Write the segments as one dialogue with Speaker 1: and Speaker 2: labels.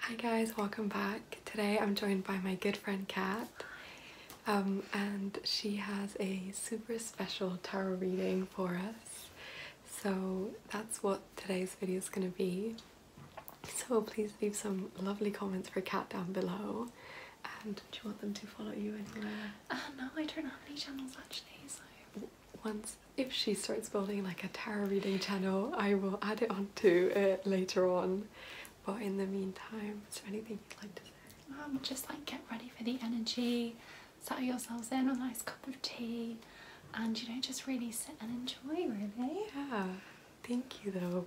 Speaker 1: Hi guys, welcome back. Today I'm joined by my good friend Kat um, and she has a super special tarot reading for us. So that's what today's video is going to be. So please leave some lovely comments for Kat down below. And do you want them to follow you anywhere?
Speaker 2: Uh, no, I don't have any channels actually, so...
Speaker 1: Once if she starts building like a tarot reading channel, I will add it on to it later on. But in the meantime, is there anything you'd like to say? Um, just like get ready for the energy, settle
Speaker 2: yourselves in a nice cup of tea, and you know, just really sit and enjoy, really.
Speaker 1: Yeah, thank you though.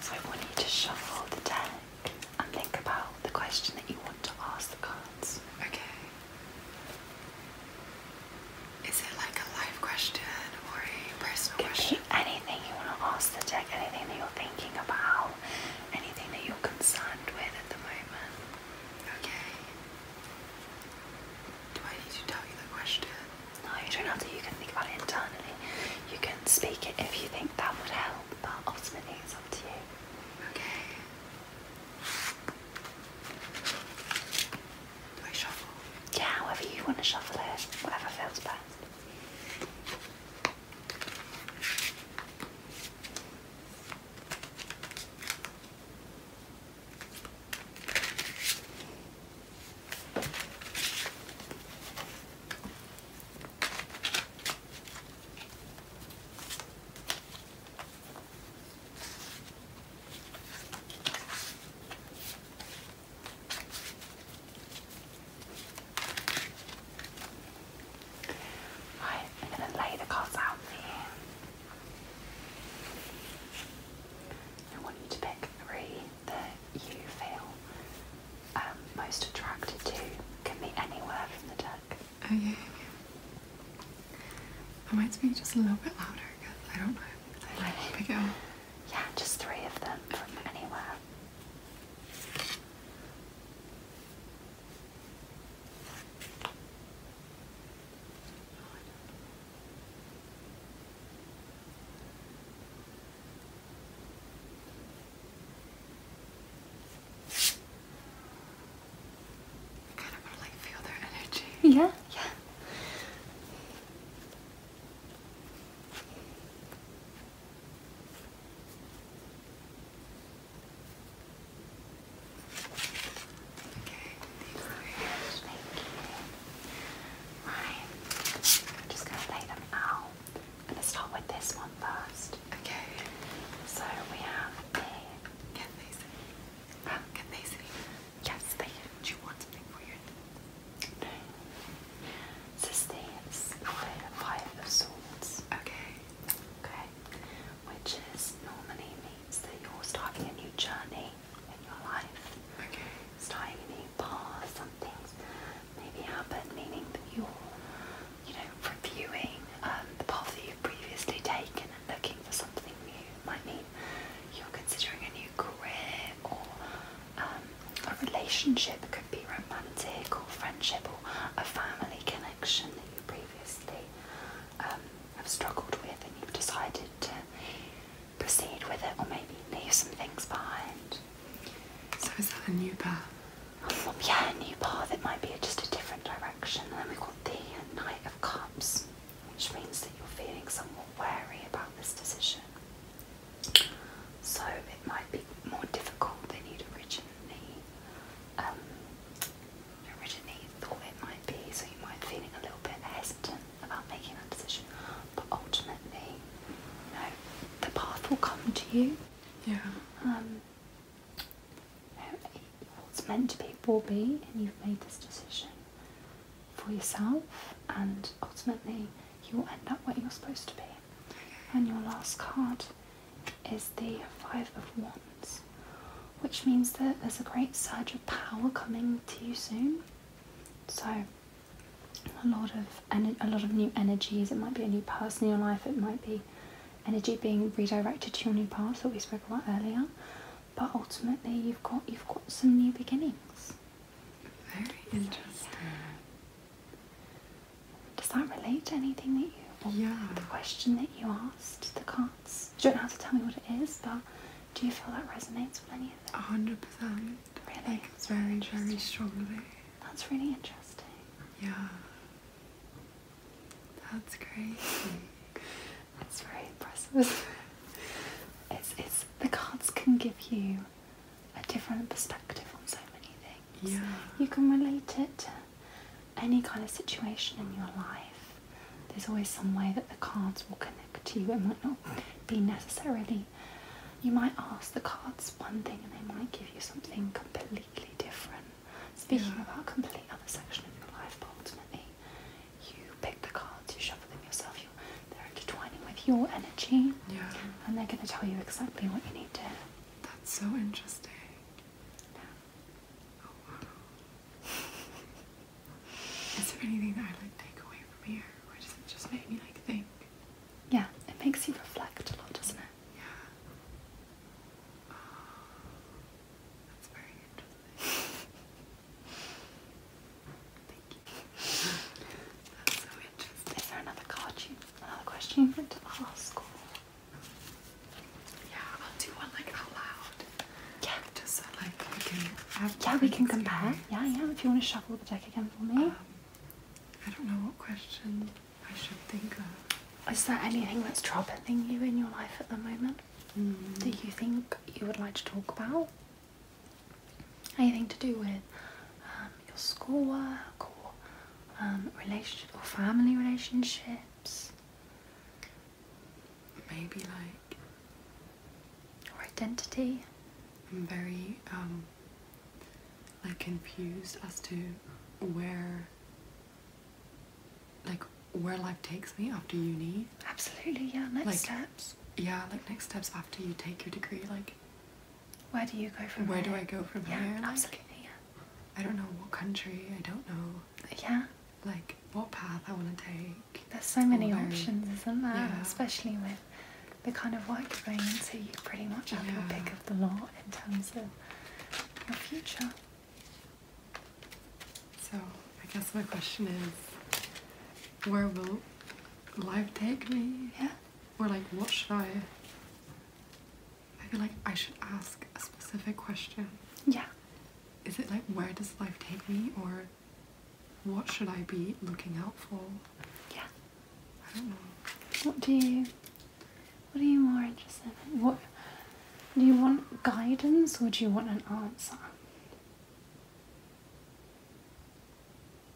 Speaker 2: So I want you to shuffle the deck and think about the question that you want to ask the cards. Okay. Is it like a life question or a personal question? Anything you want to ask the deck, anything that you're thinking about, anything that you're concerned with at the moment. Okay. Do I need to tell you the question? No, you don't have to. You can think about it internally. You can speak it if you think that would help, but ultimately it's up to you. Okay. I shuffle? Yeah, however you want to shuffle it, whatever feels best. Right, I'm going to lay the cards out for
Speaker 1: I want you to pick three that you feel um, most attracted to can be anywhere from the deck. Oh I might speak just a little bit louder because I don't know. I like to pick it up. Yeah, just three of them from anywhere. Oh,
Speaker 2: I kind of want to like feel their energy. Yeah, yeah. Okay, Right. I'm just going to lay them out. going to start with this one first. Okay.
Speaker 1: So we have the. Can they see? Uh, can they Do you want something for you? No. Five of Swords. Okay.
Speaker 2: Okay. Which is normally means that you're starting a new journey in your life. Okay. Starting a new path, some things maybe happen, meaning that you're, you know, reviewing um, the path that you've previously taken and looking for something new. It might mean you're considering a new career or um, a relationship. It could be romantic or friendship or a family connection that you previously um, have struggled with and you've decided to proceed with it or maybe leave some things behind.
Speaker 1: So is that a new path?
Speaker 2: Um, yeah, a new path. It might be just a different direction. And then we've got the Knight of Cups, which means that you're feeling somewhat wary about this decision. So it might be more difficult than you'd originally um, originally thought it might be. So you might be feeling a little bit hesitant about making that decision. But ultimately, you know, the path will come to you. Yeah. Um, what's meant to be will be, and you've made this decision for yourself, and ultimately, you will end up where you're supposed to be. And your last card is the Five of Wands, which means that there's a great surge of power coming to you soon. So a lot of a lot of new energies. It might be a new person in your life. It might be energy being redirected to your new path that we spoke about earlier. But ultimately, you've got you've got some new beginnings. Very interesting. Does that relate to anything that you? yeah. The question that you asked the cards. You don't have to tell me what it is, but do you feel that resonates with any of them? hundred percent. Really? Like
Speaker 1: very, very strongly. That's really interesting. Yeah. That's great. That's very impressive.
Speaker 2: it's it's the cards can give you a different perspective on so many
Speaker 1: things. Yeah.
Speaker 2: You can relate it to any kind of situation in your life. There's always some way that the cards will connect to you. It might be necessarily. You might ask the cards one thing and they might give you something completely different. Speaking about a complete other section of your life, but ultimately, you pick the cards, you shuffle them yourself, they're intertwining with your energy, and they're
Speaker 1: going to tell you exactly what you need to. That's so interesting. Oh, Is there anything that I like take
Speaker 2: away from here, or does it just make me like think? Yeah, it makes you reflect a lot, doesn't it? Yeah. Oh, that's very interesting. Thank you. That's so interesting. Is there another card another question you
Speaker 1: want to Yeah, I'll do one like out loud cactus. I like
Speaker 2: Yeah, we can compare. Yeah, yeah. If you want to shuffle the deck again for me. Um, I don't know what question I should think of. Is there anything that's troubling you in your life at the moment
Speaker 1: mm. that
Speaker 2: you think you would like to talk about? Anything to do with um, your schoolwork or um, relationship or family relationships?
Speaker 1: maybe like your identity. I'm very um like confused as to where like where life takes me after uni.
Speaker 2: Absolutely, yeah, next steps.
Speaker 1: Yeah, like next steps after you take your degree, like
Speaker 2: where do you go from where do I
Speaker 1: go from yeah, i Like, absolutely, yeah. I don't know what country, I don't know. Yeah. Like what path I want to take. There's so many options, isn't there?
Speaker 2: Especially with the kind of work you're going into, you pretty much have your pick of the lot in terms of your future.
Speaker 1: So, I guess my question is where will life take me? Yeah. Or, like, what should I? I feel like I should ask a specific question. Yeah. Is it like, where does life take me? Or what should I be looking out for? Yeah.
Speaker 2: I don't know. What do you what are you more interested in? What do you want guidance or do you want an answer?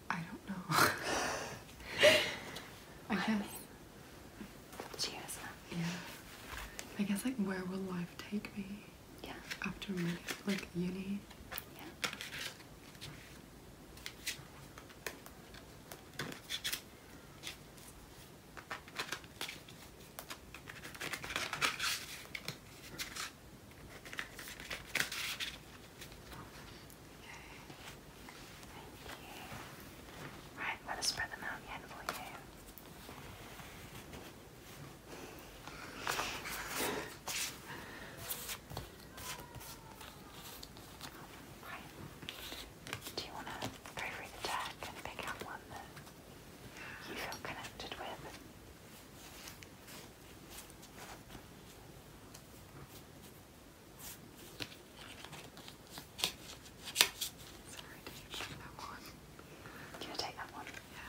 Speaker 1: I don't know. I guess. I mean, cheers. Yeah. I guess like where will life take me? Yeah. After like uni. Yeah. Thank
Speaker 2: you. Right, let us spread them out again for you. Right. Do you want to go through the deck and pick out one that you feel connected with? Sorry, you take that take that one? Yeah.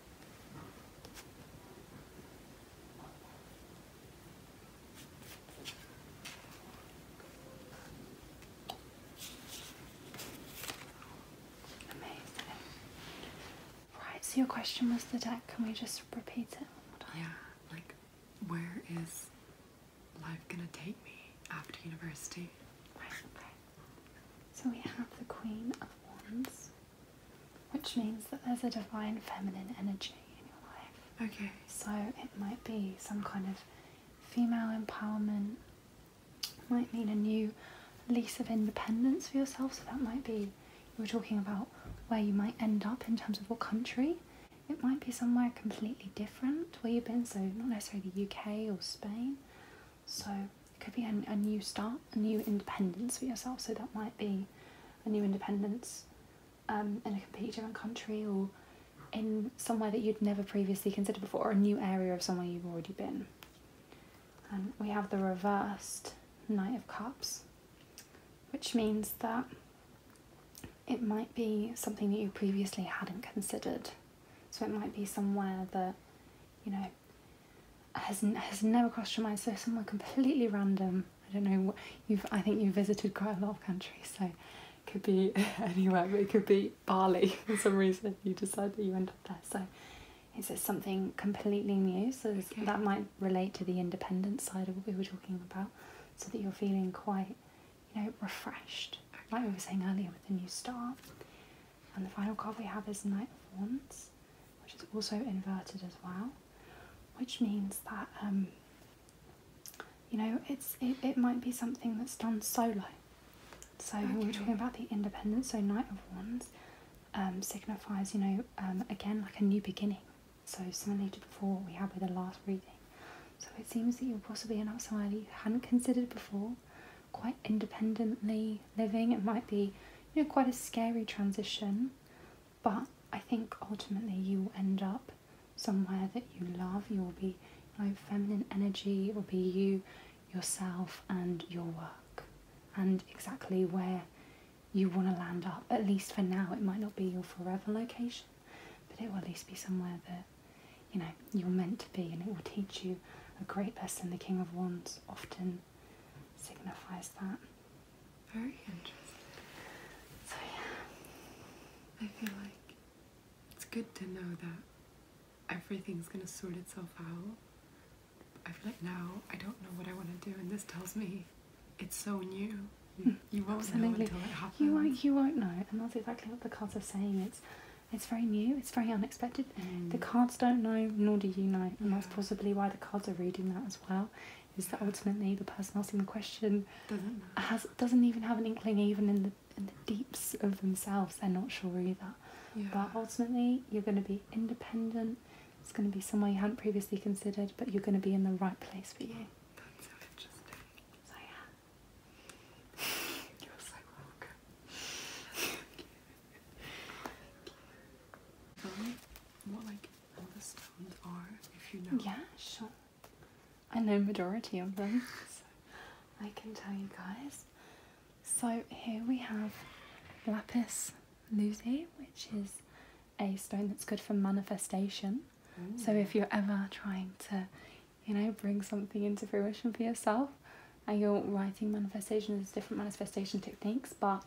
Speaker 1: Amazing. Right, so your question was the deck. Can we just repeat it? Yeah, like, where is life gonna take me after university? So we have the Queen of Wands which
Speaker 2: means that there's a divine feminine energy in your life. Okay. So it might be some kind of female empowerment, might mean a new lease of independence for yourself. So that might be, you are talking about where you might end up in terms of what country. It might be somewhere completely different where you've been, so not necessarily the UK or Spain. So it could be a new start, a new independence for yourself. So that might be a new independence um, in a completely different country or in somewhere that you'd never previously considered before, or a new area of somewhere you've already been. And um, we have the reversed Knight of Cups, which means that it might be something that you previously hadn't considered. So it might be somewhere that, you know, has has never crossed your mind. So someone completely random. I don't know. You've I think you have visited quite a lot of countries, so it could be anywhere, it could
Speaker 1: be Bali for some reason.
Speaker 2: You decide that you end up there. So it's just something completely new. So that might relate to the independent side of what we were talking about. So that you're feeling quite, you know, refreshed. Like we were saying earlier with a new start. And the final card we have is Knight of Wands which is also inverted as well, which means that um, you know it's it, might be something that's done solo. So we are talking about the independence, so Knight of Wands um, signifies, you know, um, again like a new beginning. So similar to before we had with the last reading. So it seems that you're possibly in somewhere you hadn't considered before, quite independently living. It might be you know, quite a scary transition, but I think ultimately you will end up somewhere that you love. You will be, you feminine energy will be you, yourself, and your work, and exactly where you want to land up. At least for now, it might not be your forever location, but it will at least be somewhere that you know you're meant to be, and it will teach you a great lesson the King of Wands often signifies that.
Speaker 1: Very interesting. So yeah. I feel like it's good to know that everything's gonna sort itself out. I feel like now I don't know what I want to do, and this tells me it's so new. You, mm, won't know until it happens. You won't.
Speaker 2: You won't know, and that's exactly what the cards are saying. It's it's very new. It's very unexpected the mm. cards don't know, nor do you know, and that's possibly why the cards are reading that as well. Is that ultimately the person asking the question doesn't has doesn't even have an inkling, even in the in the deeps of themselves, they're not sure either. But ultimately, you're going to be independent. It's going to be somewhere you hadn't previously considered, but you're going to be in the right place for you. That's interesting. So yeah. You're so
Speaker 1: welcome. Yeah, sure.
Speaker 2: I know majority of them. so I can tell you guys. So here we have lapis lazuli, which is a stone that's good for manifestation. So if you're ever trying to, you know, bring something into fruition for yourself, and your writing manifestation is different manifestation techniques, but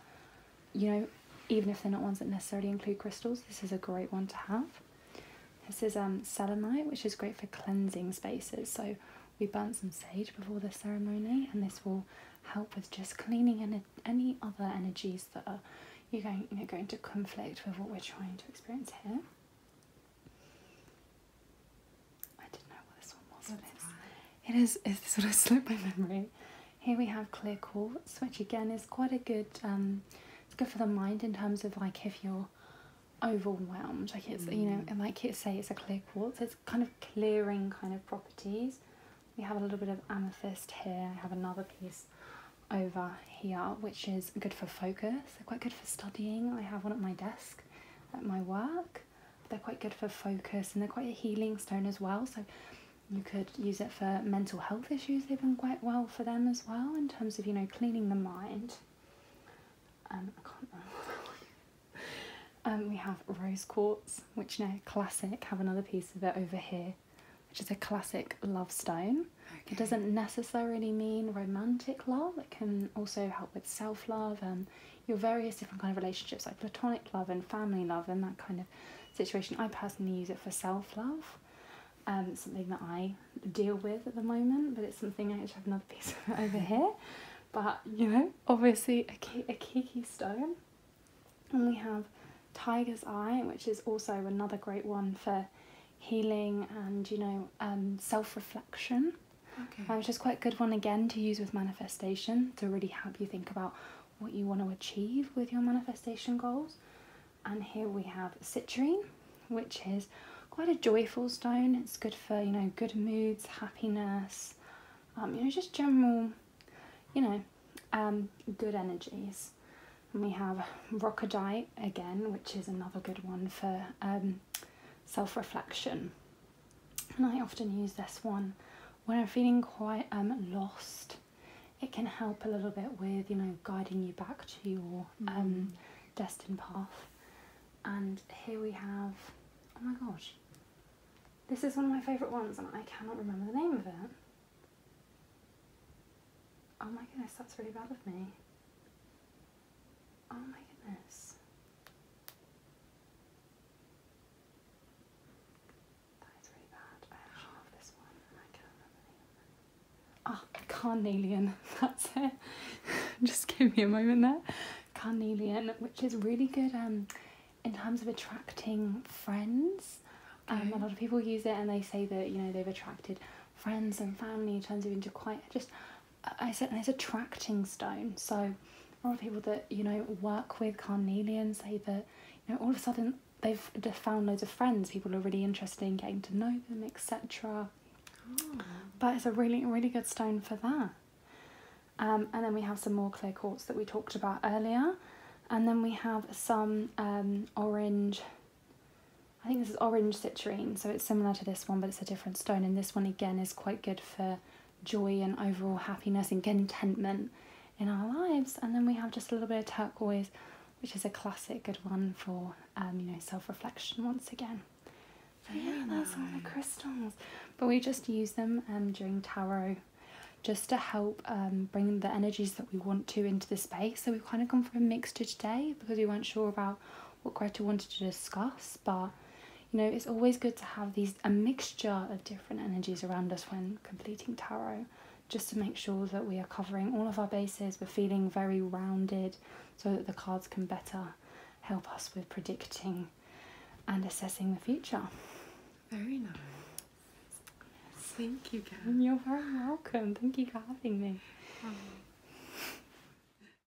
Speaker 2: you know, even if they're not ones that necessarily include crystals, this is a great one to have. This is um, selenite, which is great for cleansing spaces. So we burnt some sage before the ceremony, and this will help with just cleaning any, any other energies that are you going, you know, going to conflict with what we're trying to experience here. I didn't know what this one was. it is. It is. Is this slipped my memory? Here we have clear quartz, which again is quite a good. Um, it's good for the mind in terms of like if you're overwhelmed, like it's you know, mm. like it say it's a clear quartz. It's kind of clearing kind of properties. We have a little bit of amethyst here. I have another piece over here, which is good for focus. they quite good for studying. I have one at my desk at my work. They're quite good for focus and they're quite a healing stone as well. So you could use it for mental health issues. They've been quite well for them as well in terms of, you know, cleaning the mind. Um, um we have rose quartz, which now classic. Have another piece of it over here, which is a classic love stone. It doesn't necessarily mean romantic love. It can also help with self love and um, your various different kind of relationships like platonic love and family love and that kind of situation i personally use it for self-love and um, something that i deal with at the moment but it's something i actually have another piece of it over here but you know obviously a, a kiki stone and we have tiger's eye which is also another great one for healing and you know um, self-reflection Okay. And just quite good one again to use with manifestation to really help you think about what you want to achieve with your manifestation goals. And here we have citrine, which is quite a joyful stone. It's good for, you know, good moods, happiness, um, you know, just general, you know, um, good energies. And we have rocodite again, which is another good one for um, self reflection and I often use this one when I'm feeling quite um, lost. It can help a little bit with you know guiding you back to your um, mm-hmm. destined path. And here we have oh my gosh, this is one of my favourite ones, and I cannot remember the name of it. Oh my goodness, that's really bad of me. Oh my goodness. That is really bad. I love this one Ah, Carnelian, that's it. Just give me a moment there. Carnelian, which is really good um, in terms of attracting friends. Um, a lot of people use it and they say that, you know, they've attracted friends and family, turns you into quite just I said there's a attracting stone. So a lot of people that you know work with carnelian say that you know all of a sudden they've found loads of friends. People are really interested in getting to know them, etc. Oh. But it's a really really good stone for that. Um, and then we have some more clear quartz that we talked about earlier. And then we have some um, orange, I think this is orange citrine, so it's similar to this one, but it's a different stone. And this one again is quite good for joy and overall happiness and contentment in our lives. And then we have just a little bit of turquoise, which is a classic good one for um, you know self-reflection once again. So yeah, those are the crystals. But we just use them um, during tarot just to help um, bring the energies that we want to into the space. So we've kind of gone for a mixture today because we weren't sure about what Greta wanted to discuss, but you know, it's always good to have these a mixture of different energies around us when completing tarot, just to make sure that we are covering all of our bases, we're feeling very rounded so that the cards can better help us with predicting and assessing the future. Very nice. Yes. Thank you, Gab. You're very welcome. Thank you for having me. Um,